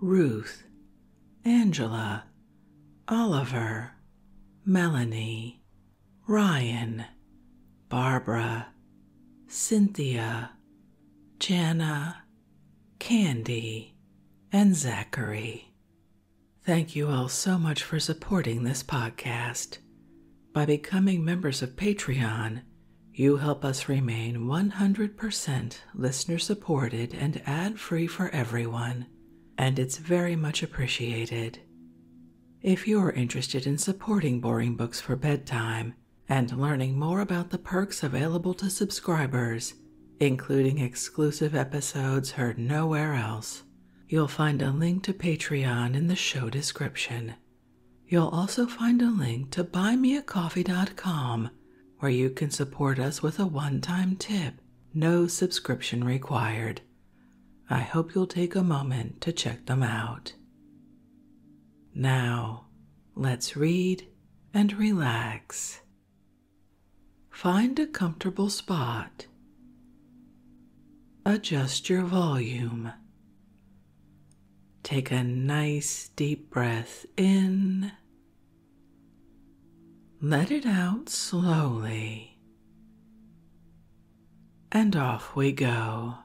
Ruth, Angela, Oliver, Melanie, Ryan, Barbara, Cynthia, Jana, Candy, and Zachary. Thank you all so much for supporting this podcast. By becoming members of Patreon, you help us remain 100% listener supported and ad free for everyone, and it's very much appreciated. If you're interested in supporting Boring Books for Bedtime and learning more about the perks available to subscribers, including exclusive episodes heard nowhere else, you'll find a link to Patreon in the show description. You'll also find a link to buymeacoffee.com where you can support us with a one time tip, no subscription required. I hope you'll take a moment to check them out. Now, let's read and relax. Find a comfortable spot. Adjust your volume. Take a nice deep breath in let it out slowly, and off we go.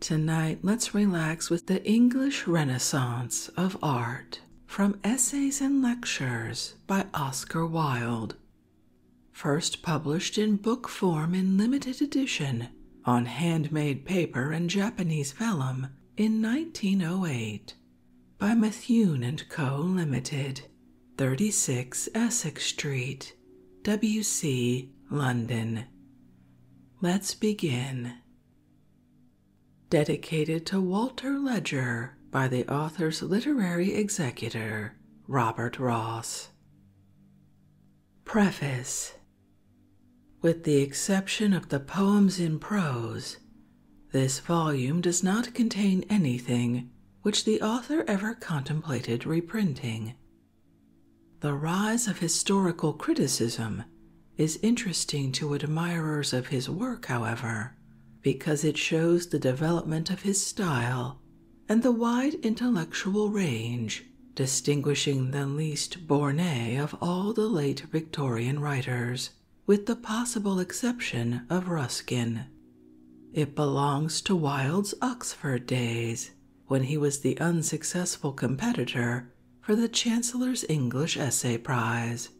Tonight, let's relax with the English Renaissance of Art from Essays and Lectures by Oscar Wilde, first published in book form in limited edition on handmade paper and Japanese vellum in 1908 by Methune and Co. Limited, 36 Essex Street, WC, London. Let's begin. Dedicated to Walter Ledger by the author's literary executor, Robert Ross. Preface With the exception of the poems in prose, this volume does not contain anything which the author ever contemplated reprinting. The rise of historical criticism is interesting to admirers of his work, however, because it shows the development of his style and the wide intellectual range distinguishing the least borné of all the late Victorian writers, with the possible exception of Ruskin. It belongs to Wilde's Oxford days, when he was the unsuccessful competitor for the Chancellor's English Essay Prize.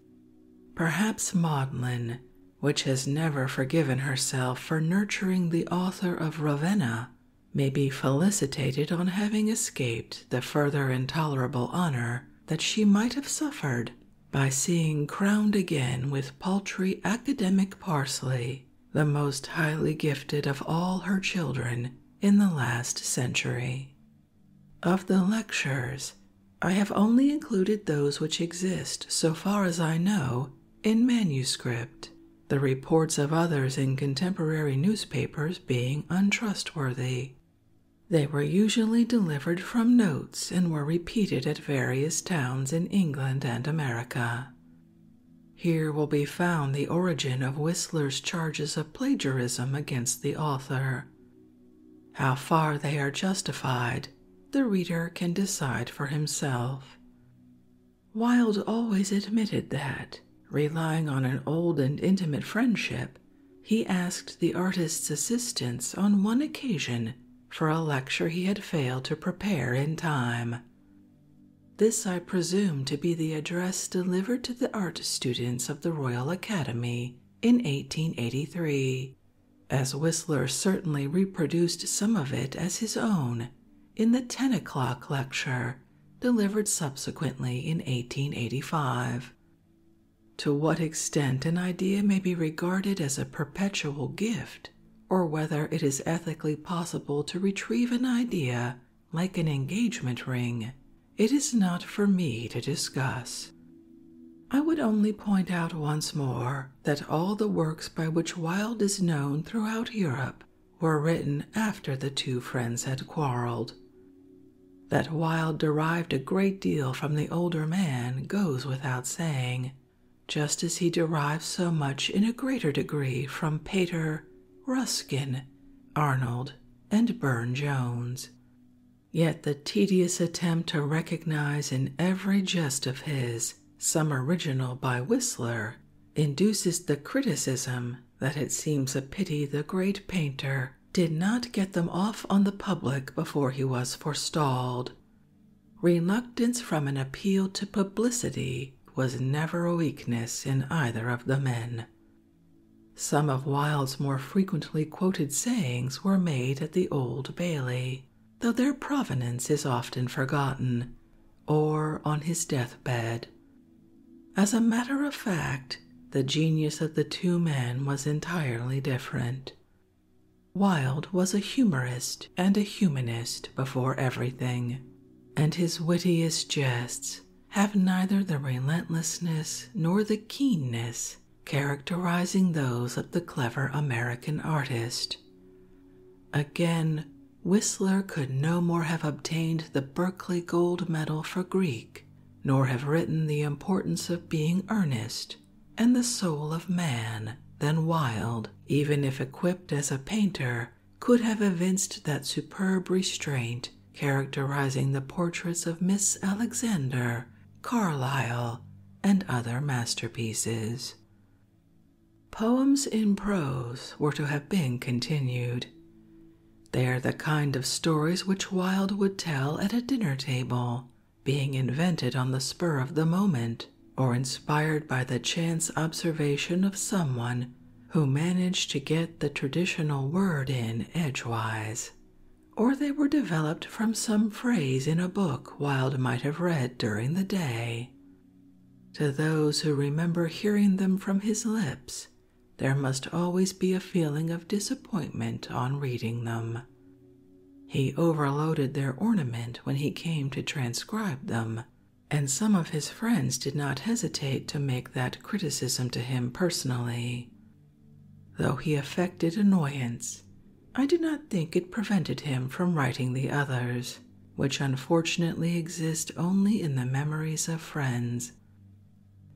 Perhaps Maudlin, which has never forgiven herself for nurturing the author of Ravenna may be felicitated on having escaped the further intolerable honour that she might have suffered by seeing crowned again with paltry academic parsley the most highly gifted of all her children in the last century. Of the lectures, I have only included those which exist, so far as I know, in manuscript. The reports of others in contemporary newspapers Papers being untrustworthy. They were usually delivered from notes and were repeated at various towns in England and America. Here will be found the origin of Whistler's charges of plagiarism against the author. How far they are justified, the reader can decide for himself. Wilde always admitted that, Relying on an old and intimate friendship, he asked the artist's assistance on one occasion for a lecture he had failed to prepare in time. This I presume to be the address delivered to the art students of the Royal Academy in 1883, as Whistler certainly reproduced some of it as his own in the 10 o'clock lecture delivered subsequently in 1885. To what extent an idea may be regarded as a perpetual gift, or whether it is ethically possible to retrieve an idea like an engagement ring, it is not for me to discuss. I would only point out once more that all the works by which Wilde is known throughout Europe were written after the two friends had quarreled. That Wilde derived a great deal from the older man goes without saying, just as he derives so much in a greater degree from Pater, Ruskin, Arnold, and Burne Jones. Yet the tedious attempt to recognize in every jest of his some original by Whistler induces the criticism that it seems a pity the great painter did not get them off on the public before he was forestalled. Reluctance from an appeal to publicity was never a weakness in either of the men. Some of Wilde's more frequently quoted sayings were made at the Old Bailey, though their provenance is often forgotten, or on his deathbed, as a matter of fact, the genius of the two men was entirely different. Wilde was a humorist and a humanist before everything, and his wittiest jests have neither the relentlessness nor the keenness characterizing those of the clever American artist. Again, Whistler could no more have obtained the Berkeley Gold Medal for Greek nor have written the importance of being earnest and the soul of man than Wilde, even if equipped as a painter, could have evinced that superb restraint characterizing the portraits of Miss Alexander, Carlyle, and other masterpieces. Poems in prose were to have been continued. They are the kind of stories which Wilde would tell at a dinner table, being invented on the spur of the moment or inspired by the chance observation of someone who managed to get the traditional word in edgewise. Or they were developed from some phrase in a book Wilde might have read during the day. To those who remember hearing them from his lips, there must always be a feeling of disappointment on reading them. He overloaded their ornament when he came to transcribe them, and some of his friends did not hesitate to make that criticism to him personally. Though he affected annoyance, I do not think it prevented him from writing the others, which unfortunately exist only in the memories of friends,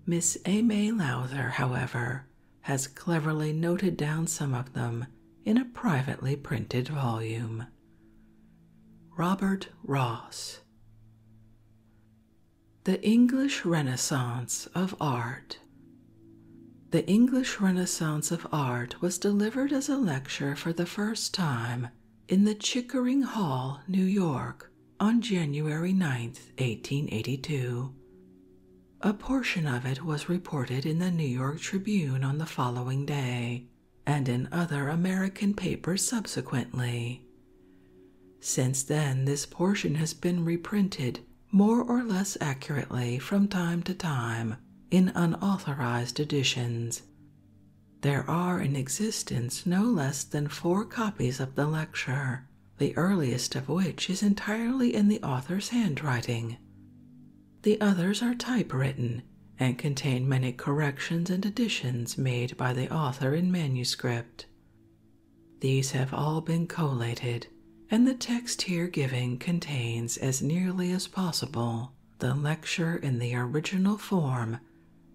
Miss Aimee Lowther, however, has cleverly noted down some of them in a privately printed volume. Robert Ross The English Renaissance of Art. The English Renaissance of Art was delivered as a lecture for the first time in the Chickering Hall, New York, on January 9, 1882. A portion of it was reported in the New York Tribune on the following day and in other American papers subsequently. Since then, this portion has been reprinted more or less accurately from time to time in unauthorized editions. There are in existence no less than four copies of the lecture, the earliest of which is entirely in the author's handwriting. The others are typewritten and contain many corrections and additions made by the author in manuscript. These have all been collated, and the text here given contains as nearly as possible the lecture in the original form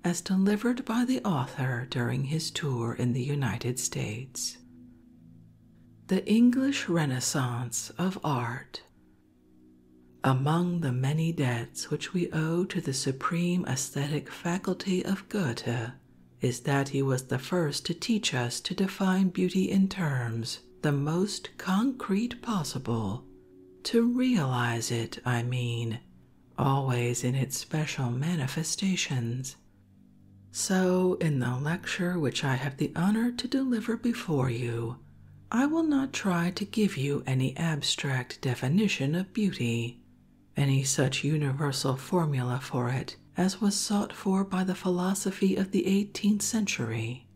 as delivered by the author during his tour in the United States. The English Renaissance of Art. Among the many debts which we owe to the supreme aesthetic faculty of Goethe is that he was the first to teach us to define beauty in terms the most concrete possible, to realize it, I mean, always in its special manifestations. So, in the lecture which I have the honor to deliver before you, I will not try to give you any abstract definition of beauty, any such universal formula for it as was sought for by the philosophy of the eighteenth century,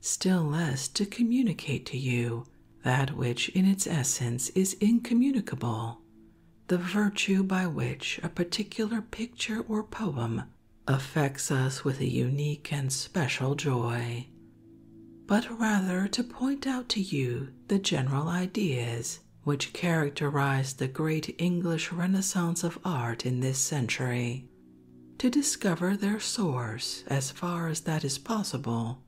still less to communicate to you that which in its essence is incommunicable the virtue by which a particular picture or poem affects us with a unique and special joy, but rather to point out to you the general ideas which characterized the great English Renaissance of art in this century, to discover their source as far as that is possible,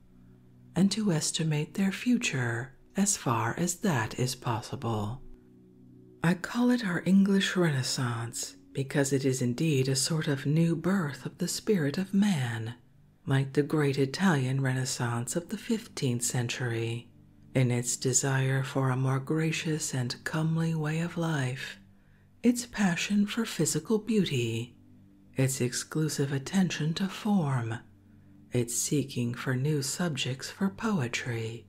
and to estimate their future as far as that is possible. I call it our English Renaissance because it is indeed a sort of new birth of the spirit of man, like the great Italian Renaissance of the fifteenth century, in its desire for a more gracious and comely way of life, its passion for physical beauty, its exclusive attention to form, it's seeking for new subjects for poetry,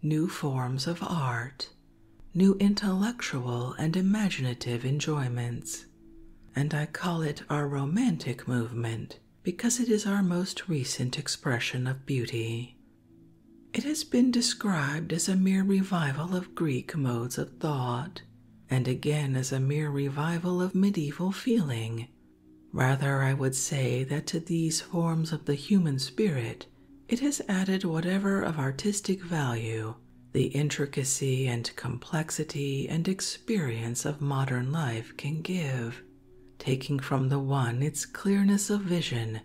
new forms of art, new intellectual and imaginative enjoyments. And I call it our romantic movement because it is our most recent expression of beauty. It has been described as a mere revival of Greek modes of thought, and again as a mere revival of medieval feeling Rather, I would say that to these forms of the human spirit, it has added whatever of artistic value the intricacy and complexity and experience of modern life can give, taking from the one its clearness of vision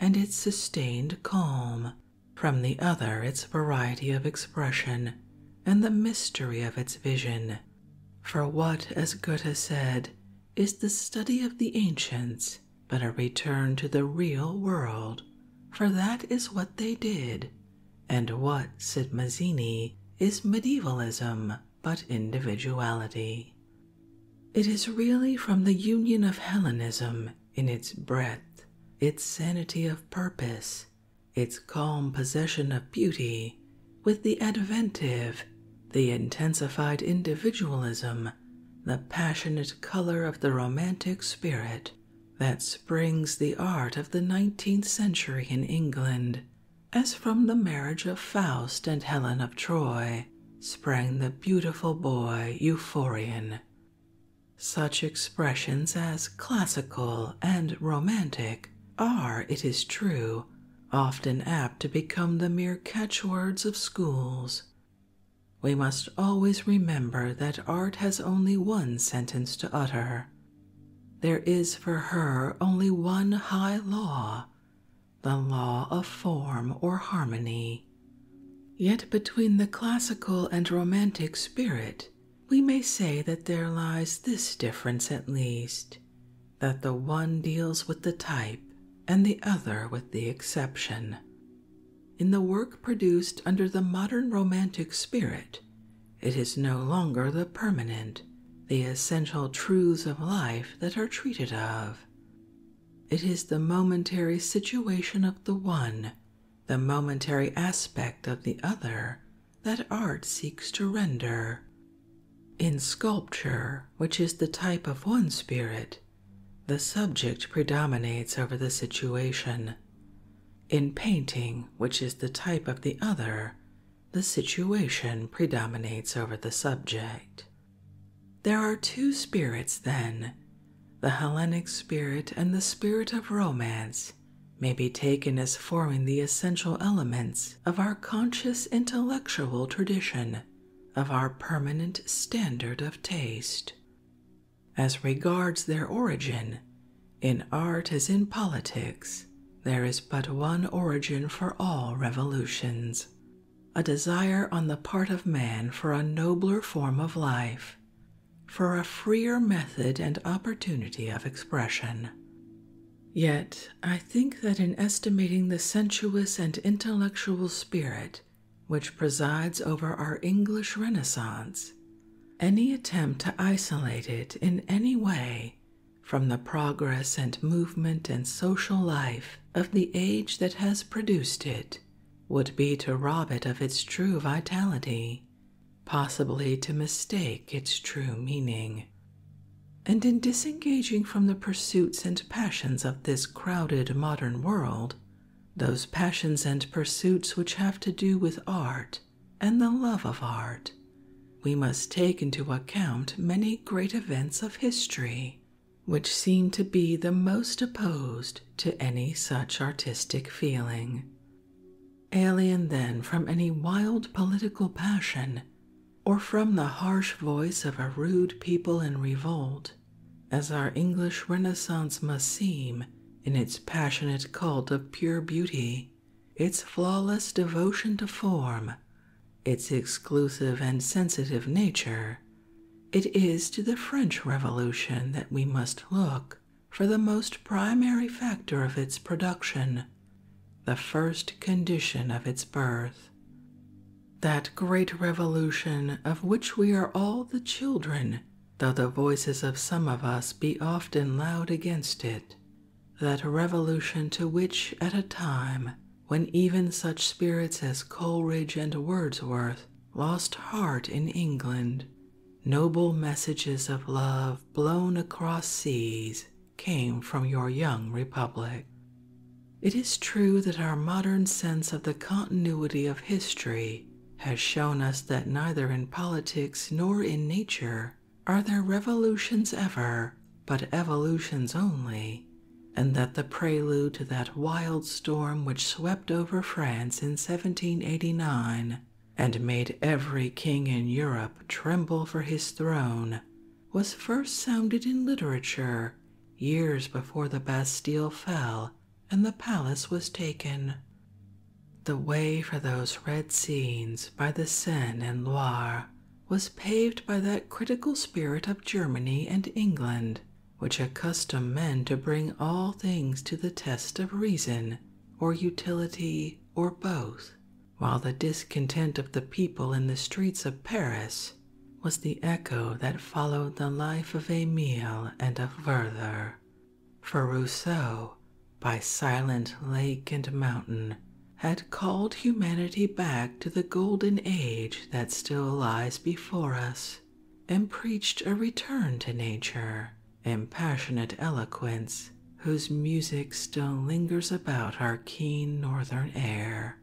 and its sustained calm, from the other its variety of expression and the mystery of its vision. For what, as Goethe said, is the study of the ancients, but a return to the real world, for that is what they did, and what, said Mazzini, is medievalism but individuality. It is really from the union of Hellenism in its breadth, its sanity of purpose, its calm possession of beauty, with the adventive, the intensified individualism, the passionate color of the romantic spirit that springs the art of the 19th century in England, as from the marriage of Faust and Helen of Troy sprang the beautiful boy Euphorion. Such expressions as classical and romantic are, it is true, often apt to become the mere catchwords of schools. We must always remember that art has only one sentence to utter. There is for her only one high law, the law of form or harmony. Yet between the classical and romantic spirit, we may say that there lies this difference at least that the one deals with the type and the other with the exception. In the work produced under the modern Romantic spirit, it is no longer the permanent, the essential truths of life that are treated of. It is the momentary situation of the one, the momentary aspect of the other, that art seeks to render, in sculpture, which is the type of one spirit, the subject predominates over the situation. In painting, which is the type of the other, the situation predominates over the subject. There are two spirits, then. The Hellenic spirit and the spirit of romance may be taken as forming the essential elements of our conscious intellectual tradition, of our permanent standard of taste. As regards their origin, in art as in politics, there is but one origin for all revolutions a desire on the part of man for a nobler form of life, for a freer method and opportunity of expression. Yet, I think that in estimating the sensuous and intellectual spirit which presides over our English Renaissance, any attempt to isolate it in any way from the progress and movement and social life of the age that has produced it would be to rob it of its true vitality, possibly to mistake its true meaning and in disengaging from the pursuits and passions of this crowded modern world, those passions and pursuits which have to do with art and the love of art, we must take into account many great events of history which seem to be the most opposed to any such artistic feeling. Alien then from any wild political passion, or from the harsh voice of a rude people in revolt, as our English Renaissance must seem in its passionate cult of pure beauty, its flawless devotion to form, its exclusive and sensitive nature. It is to the French Revolution that we must look for the most primary factor of its production, the first condition of its birth. That great revolution of which we are all the children, though the voices of some of us be often loud against it, that revolution to which at a time when even such spirits as Coleridge and Wordsworth lost heart in England, noble messages of love blown across seas came from your young republic. It is true that our modern sense of the continuity of history has shown us that neither in politics nor in nature are there revolutions ever, but evolutions only, and that the prelude to that wild storm which swept over France in 1789 and made every king in Europe tremble for his throne was first sounded in literature years before the Bastille fell and the palace was taken. The way for those red scenes by the Seine and Loire was paved by that critical spirit of Germany and England which accustomed men to bring all things to the test of reason or utility or both, while the discontent of the people in the streets of Paris was the echo that followed the life of Emile and of Werther. For Rousseau, by silent lake and mountain, had called humanity back to the golden age that still lies before us, and preached a return to nature in passionate eloquence, whose music still lingers about our keen northern air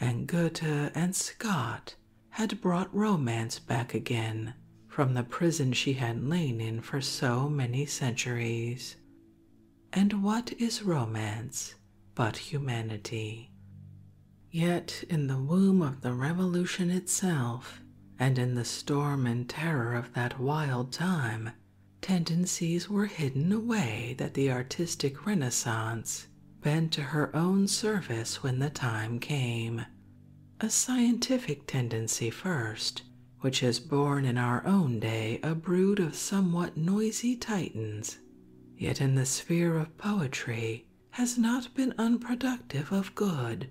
and Goethe and Scott had brought romance back again from the prison she had lain in for so many centuries. And what is romance but humanity? Yet, in the womb of the revolution itself, and in the storm and terror of that wild time, tendencies were hidden away that the artistic renaissance bent to her own service when the time came. A scientific tendency first, which has borne in our own day a brood of somewhat noisy titans, yet in the sphere of poetry has not been unproductive of good.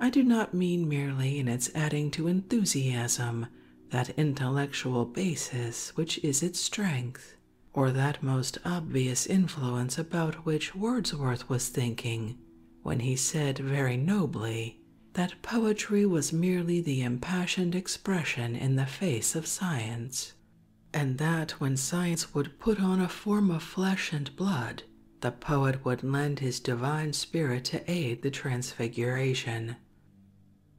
I do not mean merely in its adding to enthusiasm that intellectual basis which is its strength, or that most obvious influence about which Wordsworth was thinking when he said very nobly that poetry was merely the impassioned expression in the face of science, and that when science would put on a form of flesh and blood, the poet would lend his divine spirit to aid the transfiguration.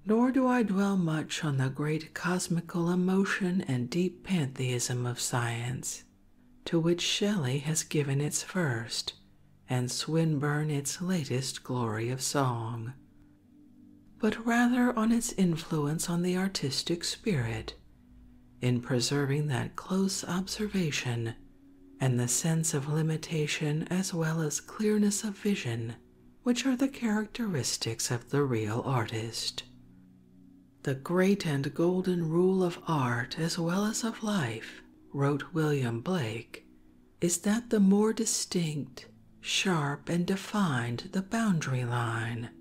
Nor do I dwell much on the great cosmical emotion and deep pantheism of science, to which Shelley has given its first, and Swinburne its latest glory of song, but rather on its influence on the artistic spirit, in preserving that close observation and the sense of limitation as well as clearness of vision which are the characteristics of the real artist. The great and golden rule of art as well as of life, wrote William Blake, is that the more distinct, sharp, and defined the boundary line,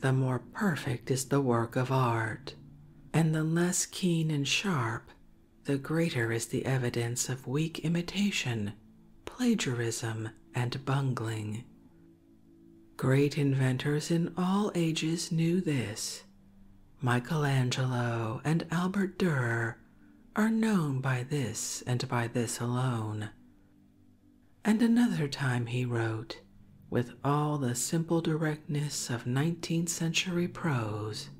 the more perfect is the work of art, and the less keen and sharp, the greater is the evidence of weak imitation plagiarism, and bungling. Great inventors in all ages knew this. Michelangelo and Albert Durer are known by this and by this alone. And another time he wrote, with all the simple directness of nineteenth century prose,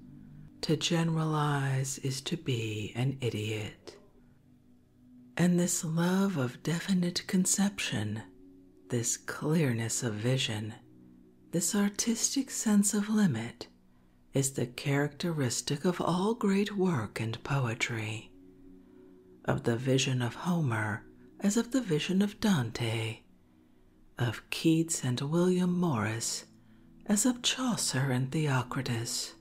to generalize is to be an idiot. And this love of definite conception, this clearness of vision, this artistic sense of limit is the characteristic of all great work and poetry, of the vision of Homer as of the vision of Dante, of Keats and William Morris as of Chaucer and Theocritus.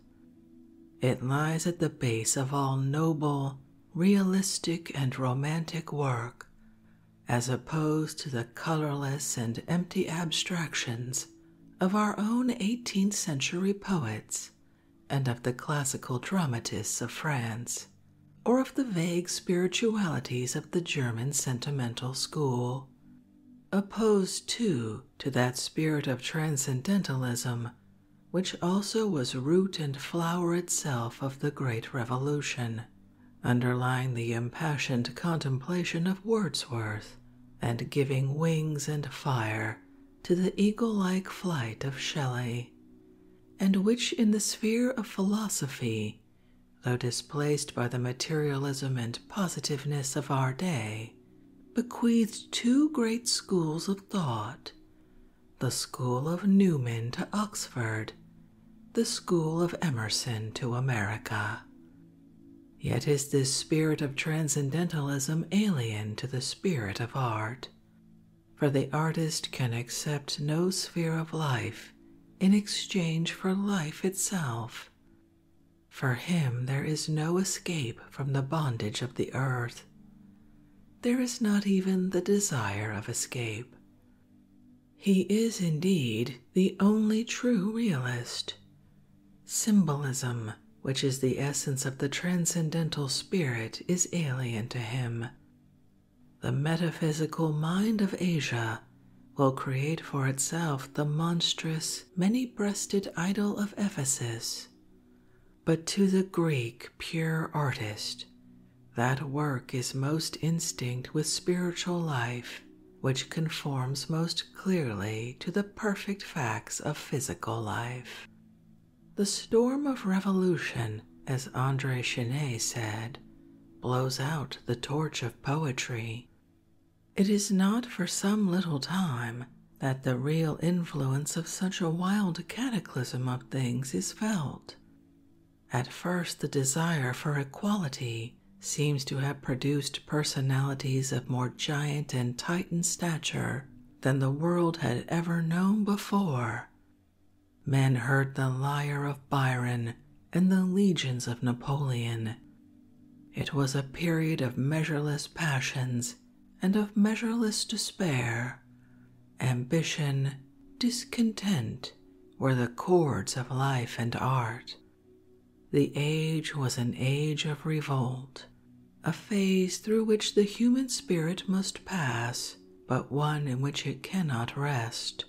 It lies at the base of all noble, realistic, and romantic work, as opposed to the colorless and empty abstractions of our own 18th century poets and of the classical dramatists of France, or of the vague spiritualities of the German sentimental school. Opposed, too, to that spirit of transcendentalism which also was root and flower itself of the Great Revolution, underlying the impassioned contemplation of Wordsworth and giving wings and fire to the eagle like flight of Shelley, and which in the sphere of philosophy, though displaced by the materialism and positiveness of our day, bequeathed two great schools of thought the school of Newman to Oxford, the school of Emerson to America. Yet is this spirit of transcendentalism alien to the spirit of art, for the artist can accept no sphere of life in exchange for life itself. For him, there is no escape from the bondage of the earth there is not even the desire of escape. He is indeed the only true realist. Symbolism, which is the essence of the transcendental spirit, is alien to him. The metaphysical mind of Asia will create for itself the monstrous, many breasted idol of Ephesus, but to the Greek pure artist, that work is most instinct with spiritual life, which conforms most clearly to the perfect facts of physical life. The storm of revolution, as Andre Chenet said, blows out the torch of poetry. It is not for some little time that the real influence of such a wild cataclysm of things is felt. At first, the desire for equality seems to have produced personalities of more giant and titan stature than the world had ever known before. Men heard the lyre of Byron and the legions of Napoleon. It was a period of measureless passions and of measureless despair. Ambition, discontent were the chords of life and art. The age was an age of revolt, a phase through which the human spirit must pass, but one in which it cannot rest.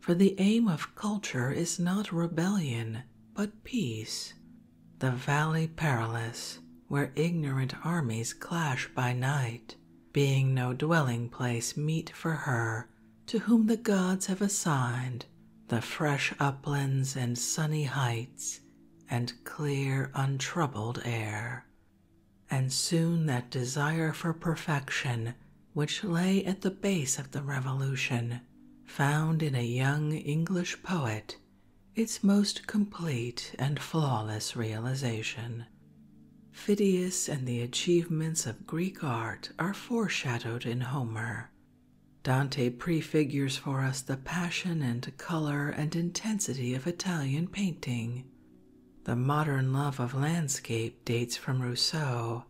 For the aim of culture is not rebellion, but peace, the Valley Perilous, where ignorant armies clash by night, being no dwelling place meet for her to whom the gods have assigned the fresh uplands and sunny heights and clear, untroubled air. And soon that desire for perfection which lay at the base of the revolution, found in a young English poet its most complete and flawless realization. Phidias and the achievements of Greek art are foreshadowed in Homer. Dante prefigures for us the passion and color and intensity of Italian painting. The modern love of landscape dates from Rousseau,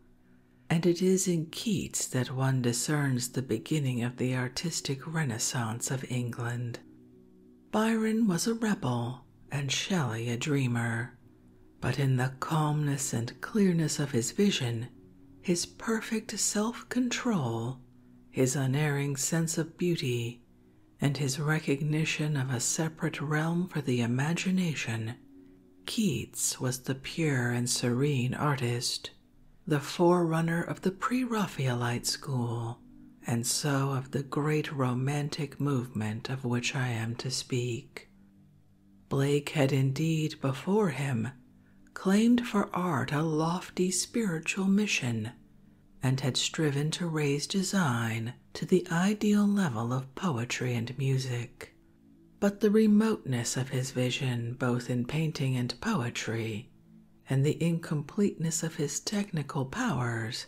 and it is in Keats that one discerns the beginning of the artistic renaissance of England. Byron was a rebel and Shelley a dreamer, but in the calmness and clearness of his vision, his perfect self control, his unerring sense of beauty, and his recognition of a separate realm for the imagination, Keats was the pure and serene artist, the forerunner of the Pre Raphaelite school and so of the great romantic movement of which I am to speak. Blake had indeed before him claimed for art a lofty spiritual mission and had striven to raise design to the ideal level of poetry and music. But the remoteness of his vision, both in painting and poetry, and the incompleteness of his technical powers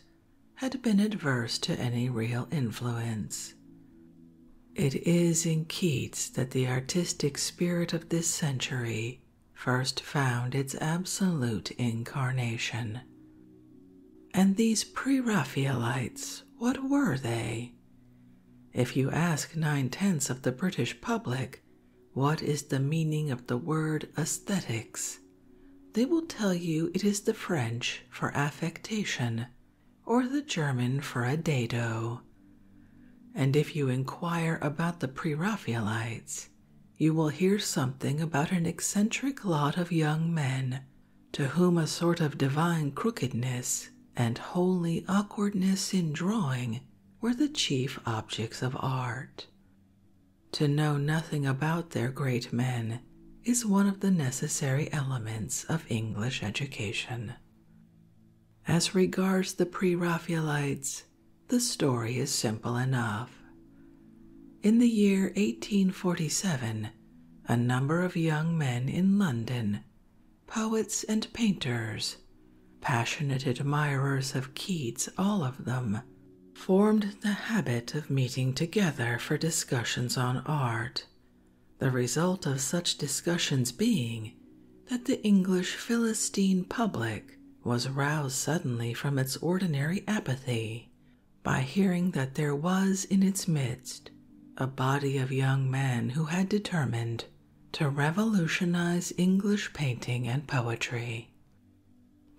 had been adverse to any real influence. It is in Keats that the artistic spirit of this century first found its absolute incarnation. And these Pre Raphaelites, what were they? If you ask nine tenths of the British public, what is the meaning of the word aesthetics? They will tell you it is the French for affectation or the German for a dado. And if you inquire about the Pre Raphaelites, you will hear something about an eccentric lot of young men to whom a sort of divine crookedness and holy awkwardness in drawing were the chief objects of art. To know nothing about their great men is one of the necessary elements of English education. As regards the Pre Raphaelites, the story is simple enough. In the year 1847, a number of young men in London, poets and painters, passionate admirers of Keats, all of them, formed the habit of meeting together for discussions on art, the result of such discussions being that the English Philistine public was roused suddenly from its ordinary apathy by hearing that there was in its midst a body of young men who had determined to revolutionize English painting and poetry.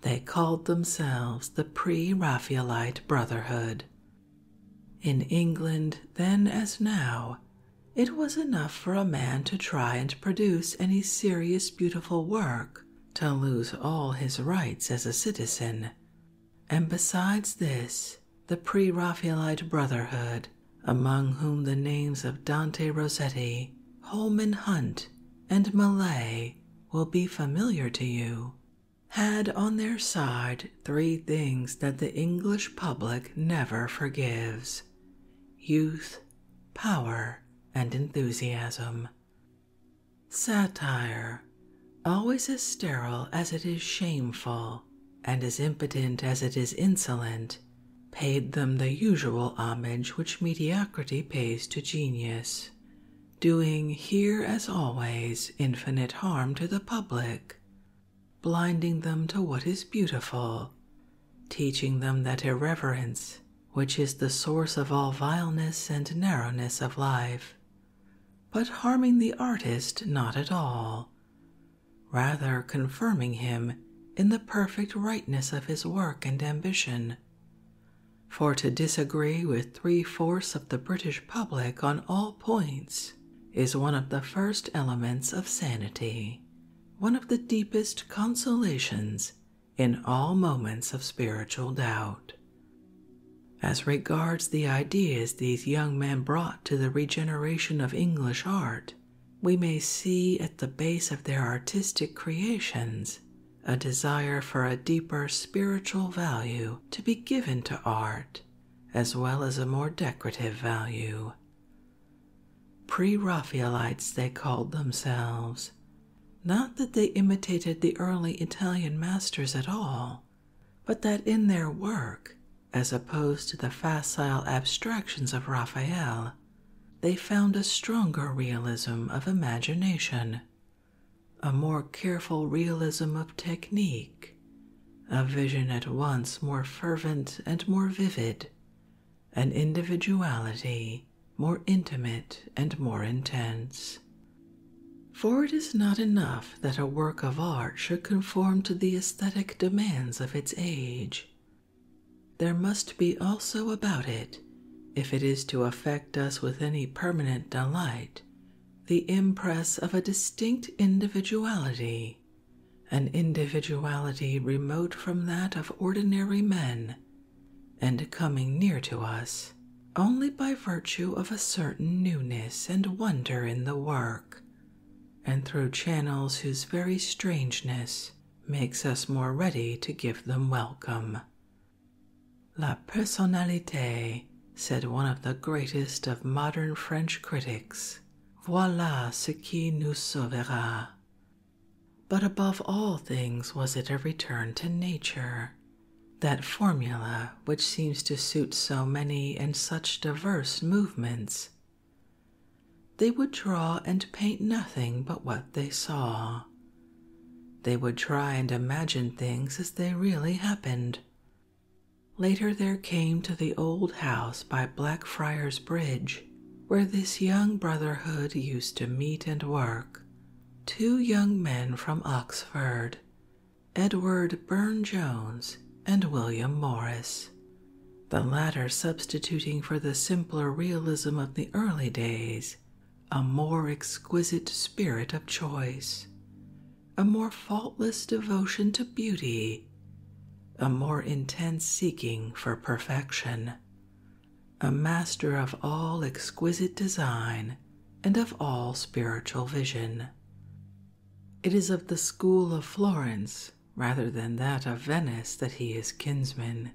They called themselves the Pre Raphaelite Brotherhood. In England, then as now, it was enough for a man to try and produce any serious beautiful work to lose all his rights as a citizen. And besides this, the Pre Raphaelite Brotherhood, among whom the names of Dante Rossetti, Holman Hunt, and Millais will be familiar to you, had on their side three things that the English public never forgives youth, power, and enthusiasm. Satire, always as sterile as it is shameful, and as impotent as it is insolent, paid them the usual homage which mediocrity pays to genius, doing here as always infinite harm to the public, blinding them to what is beautiful, teaching them that irreverence, which is the source of all vileness and narrowness of life, but harming the artist not at all, rather confirming him in the perfect rightness of his work and ambition for to disagree with three fourths of the British public on all points is one of the first elements of sanity, one of the deepest consolations in all moments of spiritual doubt. As regards the ideas these young men brought to the regeneration of English art, we may see at the base of their artistic creations a desire for a deeper spiritual value to be given to art, as well as a more decorative value. Pre Raphaelites, they called themselves. Not that they imitated the early Italian masters at all, but that in their work, as opposed to the facile abstractions of Raphael, they found a stronger realism of imagination, a more careful realism of technique, a vision at once more fervent and more vivid, an individuality more intimate and more intense. For it is not enough that a work of art should conform to the aesthetic demands of its age. There must be also about it if it is to affect us with any permanent delight, the impress of a distinct individuality, an individuality remote from that of ordinary men, and coming near to us only by virtue of a certain newness and wonder in the work, and through channels whose very strangeness makes us more ready to give them welcome La personnalité, said one of the greatest of modern French critics, voila ce qui nous sauvera. But above all things was it a return to nature, that formula which seems to suit so many and such diverse movements. They would draw and paint nothing but what they saw, they would try and imagine things as they really happened. Later, there came to the old house by Blackfriars Bridge, where this young brotherhood used to meet and work, two young men from Oxford, Edward Burne Jones and William Morris, the latter substituting for the simpler realism of the early days a more exquisite spirit of choice, a more faultless devotion to beauty, a more intense seeking for perfection, a master of all exquisite design and of all spiritual vision. It is of the school of Florence rather than that of Venice that he is kinsman,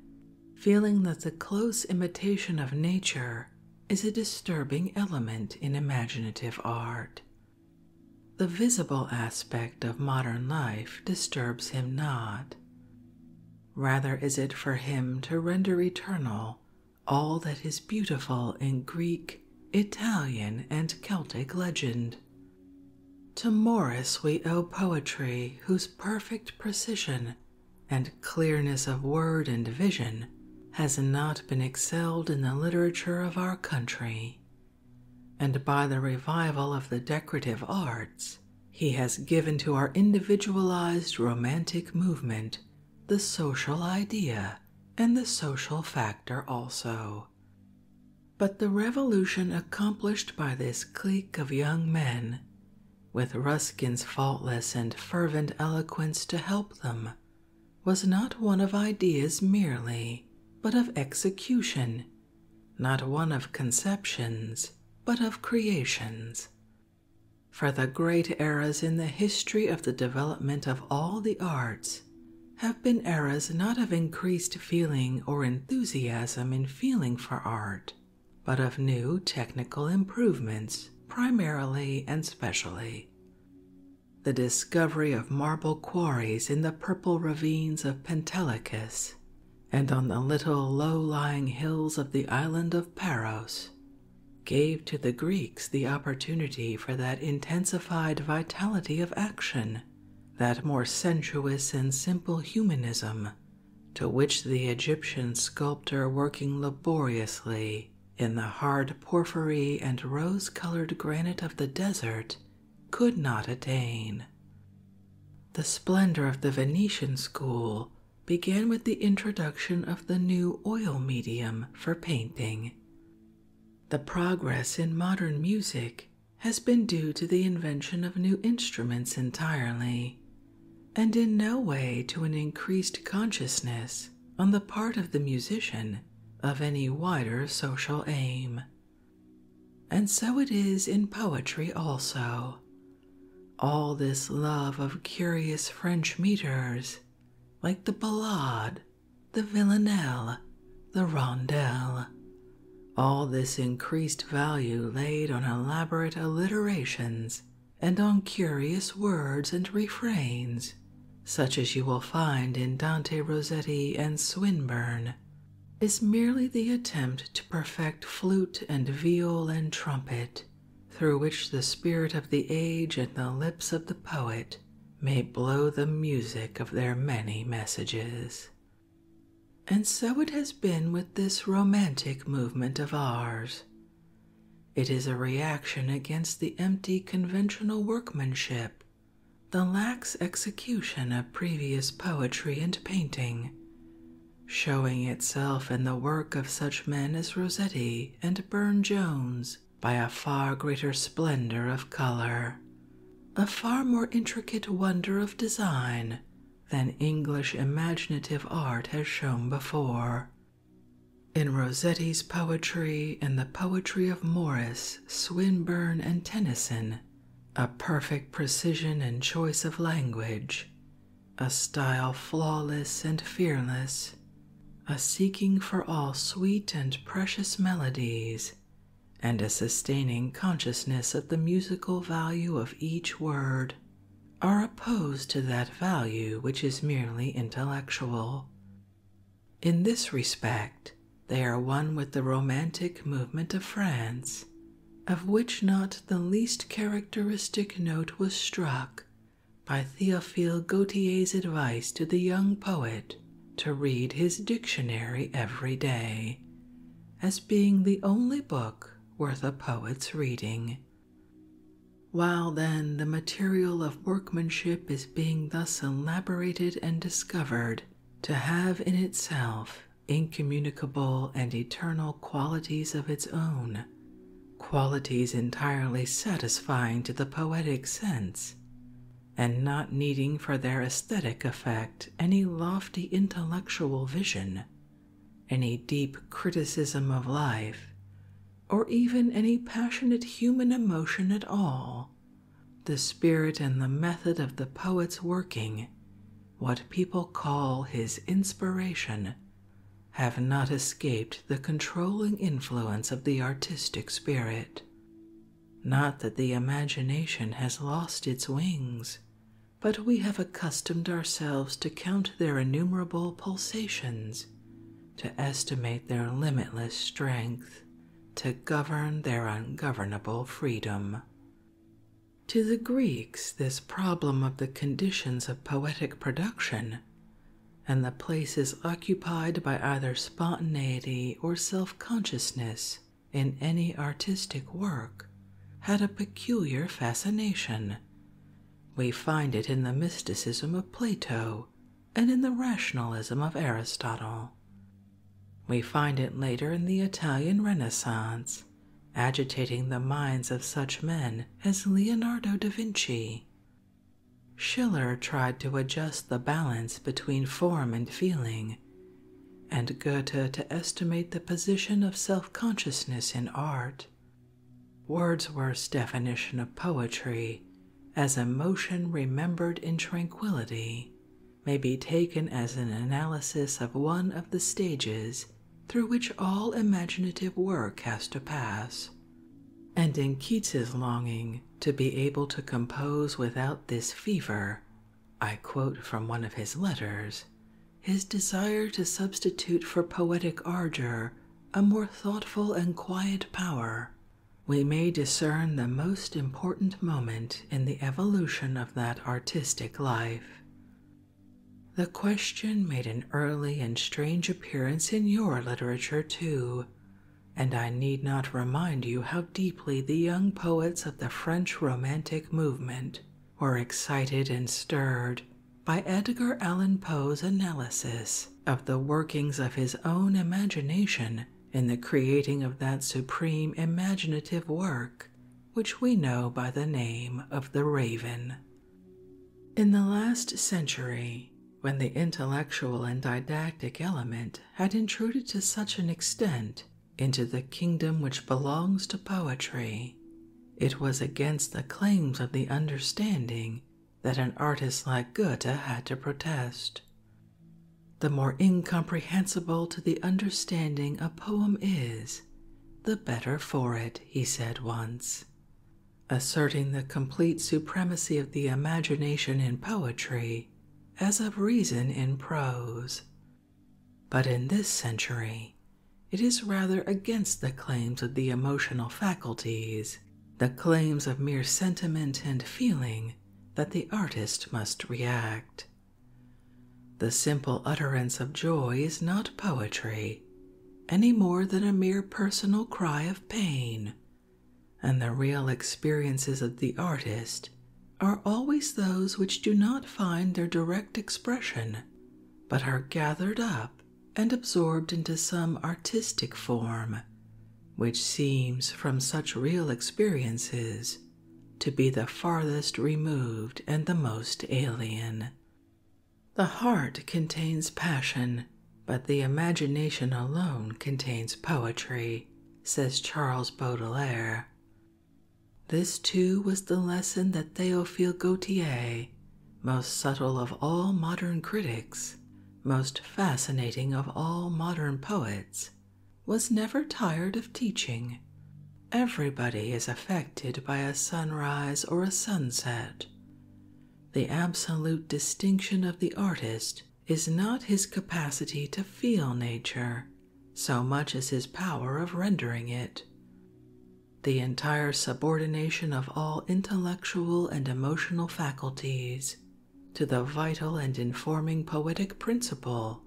feeling that the close imitation of nature is a disturbing element in imaginative art. The visible aspect of modern life disturbs him not. Rather is it for him to render eternal all that is beautiful in Greek, Italian, and Celtic legend. To Morris we owe poetry whose perfect precision and clearness of word and vision has not been excelled in the literature of our country, and by the revival of the decorative arts, he has given to our individualized romantic movement the social idea and the social factor also. But the revolution accomplished by this clique of young men with Ruskin's faultless and fervent eloquence to help them, was not one of ideas merely, but of execution, not one of conceptions, but of creations. For the great eras in the history of the development of all the arts have been eras not of increased feeling or enthusiasm in feeling for art, but of new technical improvements, primarily and specially. The discovery of marble quarries in the purple ravines of Pentelicus and on the little low lying hills of the island of Paros gave to the Greeks the opportunity for that intensified vitality of action, that more sensuous and simple humanism to which the Egyptian sculptor working laboriously in the hard porphyry and rose colored granite of the desert could not attain. The splendor of the Venetian school began with the introduction of the new oil medium for painting. The progress in modern music has been due to the invention of new instruments entirely, and in no way to an increased consciousness on the part of the musician of any wider social aim. And so it is in poetry also. All this love of curious French meters, like the ballade, the villanelle, the rondel, all this increased value laid on elaborate alliterations and on curious words and refrains, such as you will find in Dante Rossetti and Swinburne, is merely the attempt to perfect flute and viol and trumpet, through which the spirit of the age and the lips of the poet may blow the music of their many messages. And so it has been with this romantic movement of ours, it is a reaction against the empty conventional workmanship, the lax execution of previous poetry and painting, showing itself in the work of such men as Rossetti and Burne Jones by a far greater splendor of color, a far more intricate wonder of design than English imaginative art has shown before. In Rossetti's poetry in the poetry of Morris, Swinburne, and Tennyson, a perfect precision and choice of language, a style flawless and fearless, a seeking for all sweet and precious melodies, and a sustaining consciousness of the musical value of each word are opposed to that value which is merely intellectual. In this respect, they are one with the Romantic movement of France, of which not the least characteristic note was struck by Theophile Gautier's advice to the young poet to read his dictionary every day, as being the only book worth a poet's reading. While then the material of workmanship is being thus elaborated and discovered to have in itself incommunicable and eternal qualities of its own, qualities entirely satisfying to the poetic sense, and not needing for their aesthetic effect any lofty intellectual vision any deep criticism of life, or even any passionate human emotion at all. The spirit and the method of the poet's working, what people call his inspiration, have not escaped the controlling influence of the artistic spirit. Not that the imagination has lost its wings, but we have accustomed ourselves to count their innumerable pulsations to estimate their limitless strength, to govern their ungovernable freedom. To the Greeks, this problem of the conditions of poetic production and the place occupied by either spontaneity or self consciousness in any artistic work had a peculiar fascination we find it in the mysticism of Plato and in the rationalism of Aristotle. We find it later in the Italian Renaissance, agitating the minds of such men as Leonardo da Vinci. Schiller tried to adjust the balance between form and feeling, and Goethe to estimate the position of self consciousness in art. Wordsworth's definition of poetry as emotion remembered in tranquility may be taken as an analysis of one of the stages through which all imaginative work has to pass. And in Keats's longing to be able to compose without this fever, I quote from one of his letters, his desire to substitute for poetic ardor a more thoughtful and quiet power, we may discern the most important moment in the evolution of that artistic life. The question made an early and strange appearance in your literature, too, and I need not remind you how deeply the young poets of the French Romantic movement were excited and stirred by Edgar Allan Poe's analysis of the workings of his own imagination in the creating of that supreme imaginative work which we know by the name of the Raven. In the last century, when the intellectual and didactic element had intruded to such an extent into the kingdom which belongs to poetry, it was against the claims of the understanding that an artist like Goethe had to protest. The more incomprehensible to the understanding a poem is, the better for it, he said once. Asserting the complete supremacy of the imagination in poetry, as of reason in prose. But in this century, it is rather against the claims of the emotional faculties the claims of mere sentiment and feeling that the artist must react. The simple utterance of joy is not poetry, any more than a mere personal cry of pain, and the real experiences of the artist are always those which do not find their direct expression but are gathered up and absorbed into some artistic form, which seems from such real experiences to be the farthest removed and the most alien. The heart contains passion, but the imagination alone contains poetry, says Charles Baudelaire. This too was the lesson that Théophile Gautier most subtle of all modern critics, most fascinating of all modern poets, was never tired of teaching. Everybody is affected by a sunrise or a sunset. The absolute distinction of the artist is not his capacity to feel nature so much as his power of rendering it. The entire subordination of all intellect intellectual and emotional faculties to the vital and informing poetic principle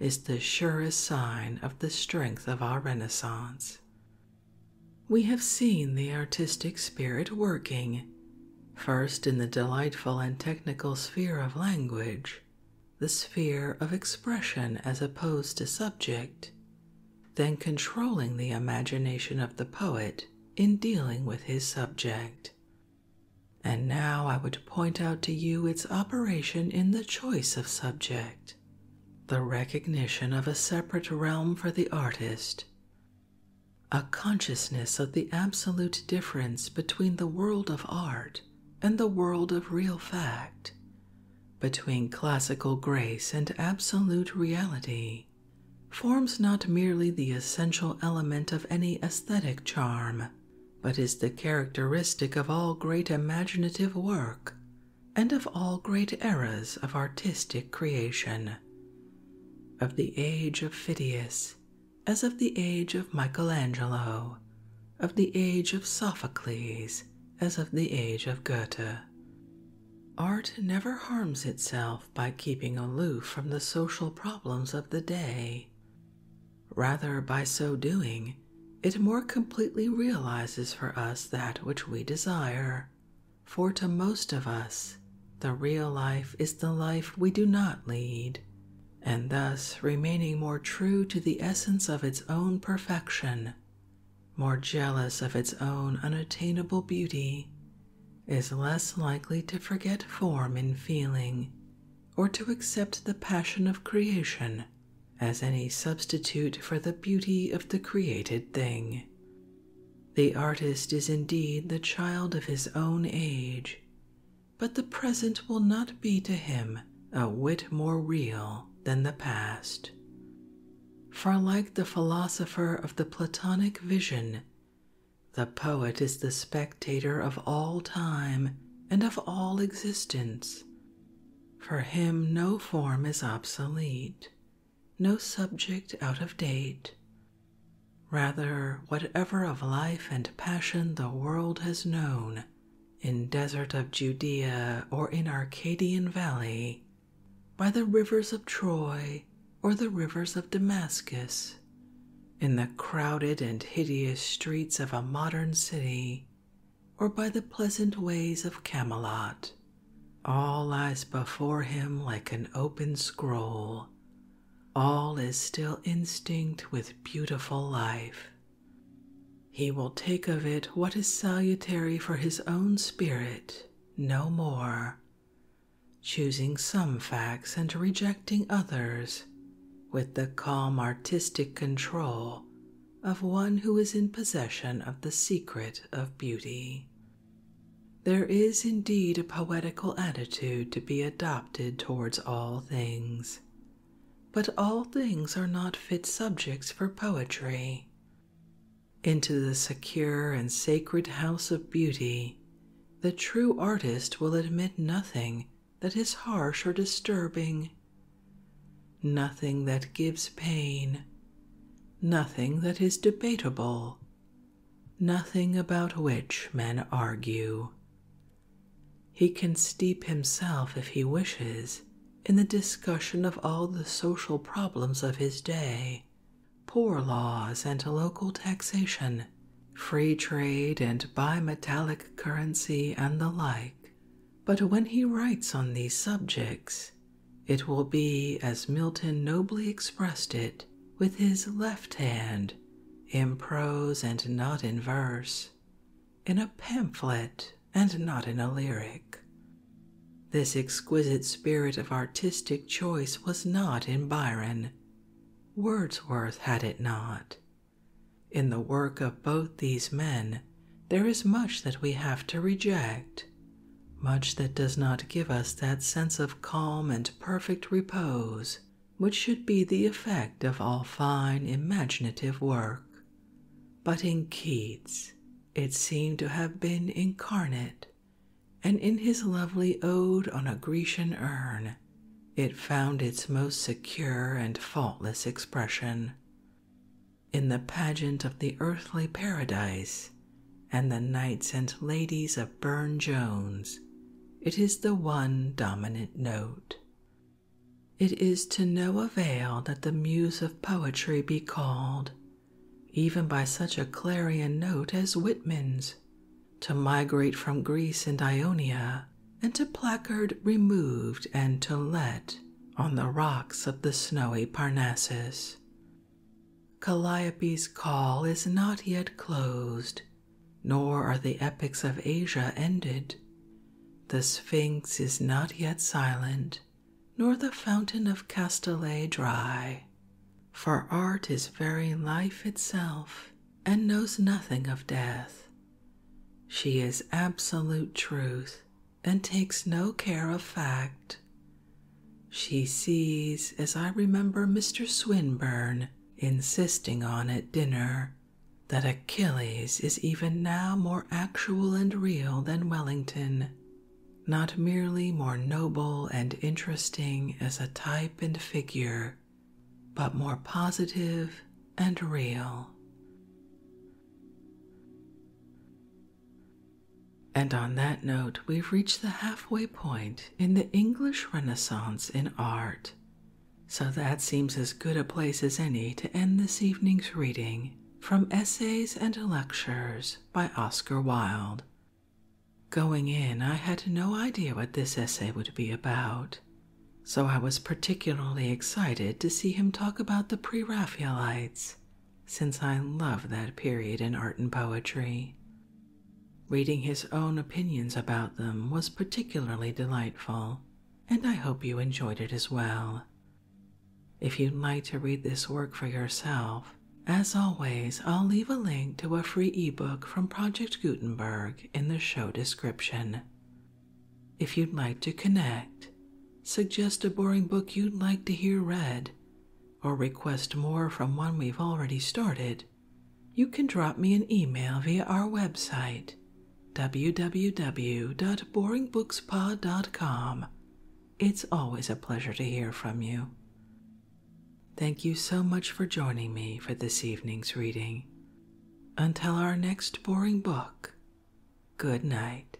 is the surest sign of the strength of our Renaissance. We have seen the artistic spirit working, first in the delightful and technical sphere of language, the sphere of expression as opposed to subject, than controlling the imagination of the poet in dealing with his subject. And now I would point out to you its operation in the choice of subject, the recognition of a separate realm for the artist, a consciousness of the absolute difference between the world of art and the world of real fact, between classical grace and absolute reality forms not merely the essential element of any aesthetic charm, but is the characteristic of all great imaginative work and of all great eras of artistic creation. Of the age of Phidias, as of the age of Michelangelo, of the age of Sophocles, as of the age of Goethe, Art never harms itself by keeping aloof from the social problems of the day. Rather, by so doing, it more completely realizes for us that which we desire. For to most of us, the real life is the life we do not lead, and thus remaining more true to the essence of its own perfection, more jealous of its own unattainable beauty, is less likely to forget form in feeling or to accept the passion of creation as any substitute for the beauty of the created thing. The artist is indeed the child of his own age, but the present will not be to him a whit more real than the past. For, like the philosopher of the Platonic vision, the poet is the spectator of all time and of all existence. For him, no form is obsolete, no subject out of date. Rather, whatever of life and passion the world has known, in desert of Judea or in Arcadian valley, by the rivers of Troy or the rivers of Damascus, in the crowded and hideous streets of a modern city, or by the pleasant ways of Camelot. All lies before him like an open scroll. All is still instinct with beautiful life. He will take of it what is salutary for his own spirit, no more, choosing some facts and rejecting others with the calm artistic control of one who is in possession of the secret of beauty. There is indeed a poetical attitude to be adopted towards all things, but all things are not fit subjects for poetry. Into the secure and sacred house of beauty, the true artist will admit nothing that is harsh or disturbing, nothing that gives pain, nothing that is debatable, nothing about which men argue. He can steep himself, if he wishes, in the discussion of all the social problems of his day. Poor laws and local taxation, free trade and bimetallic currency, and the like. But when he writes on these subjects, it will be as Milton nobly expressed it with his left hand, in prose and not in verse, in a pamphlet and not in a lyric. This exquisite spirit of artistic choice was not in Byron. Wordsworth had it not. In the work of both these men, there is much that we have to reject, much that does not give us that sense of calm and perfect repose which should be the effect of all fine imaginative work. But in Keats, it seemed to have been incarnate and in his lovely ode on a Grecian urn, it found its most secure and faultless expression. In the pageant of the earthly paradise and the knights and ladies of Burne Jones, it is the one dominant note. It is to no avail that the muse of poetry be called even by such a clarion note as Whitman's, to migrate from Greece and Ionia and to placard removed and to let on the rocks of the snowy Parnassus. Calliope's call is not yet closed, nor are the epics of Asia ended. The Sphinx is not yet silent, nor the fountain of Castalet dry for art is very life itself and knows nothing of death. She is absolute truth and takes no care of fact. She sees, as I remember Mr. Swinburne insisting on at dinner, that Achilles is even now more actual and real than Wellington, not merely more noble and interesting as a type and figure, but more positive and real. And on that note, we've reached the halfway point in the English Renaissance in art. So that seems as good a place as any to end this evening's reading from Essays and Lectures by Oscar Wilde. Going in, I had no idea what this essay would be about, so I was particularly excited to see him talk about the Pre Raphaelites, since I love that period in art and poetry. Reading his own opinions about them was particularly delightful, and I hope you enjoyed it as well. If you'd like to read this work for yourself, as always, I'll leave a link to a free ebook from Project Gutenberg in the show description. If you'd like to connect, suggest a boring book you'd like to hear read, or request more from one we've already started, you can drop me an email via our website www.boringbookspod.com. It's always a pleasure to hear from you. Thank you so much for joining me for this evening's reading. Until our next boring book, good night.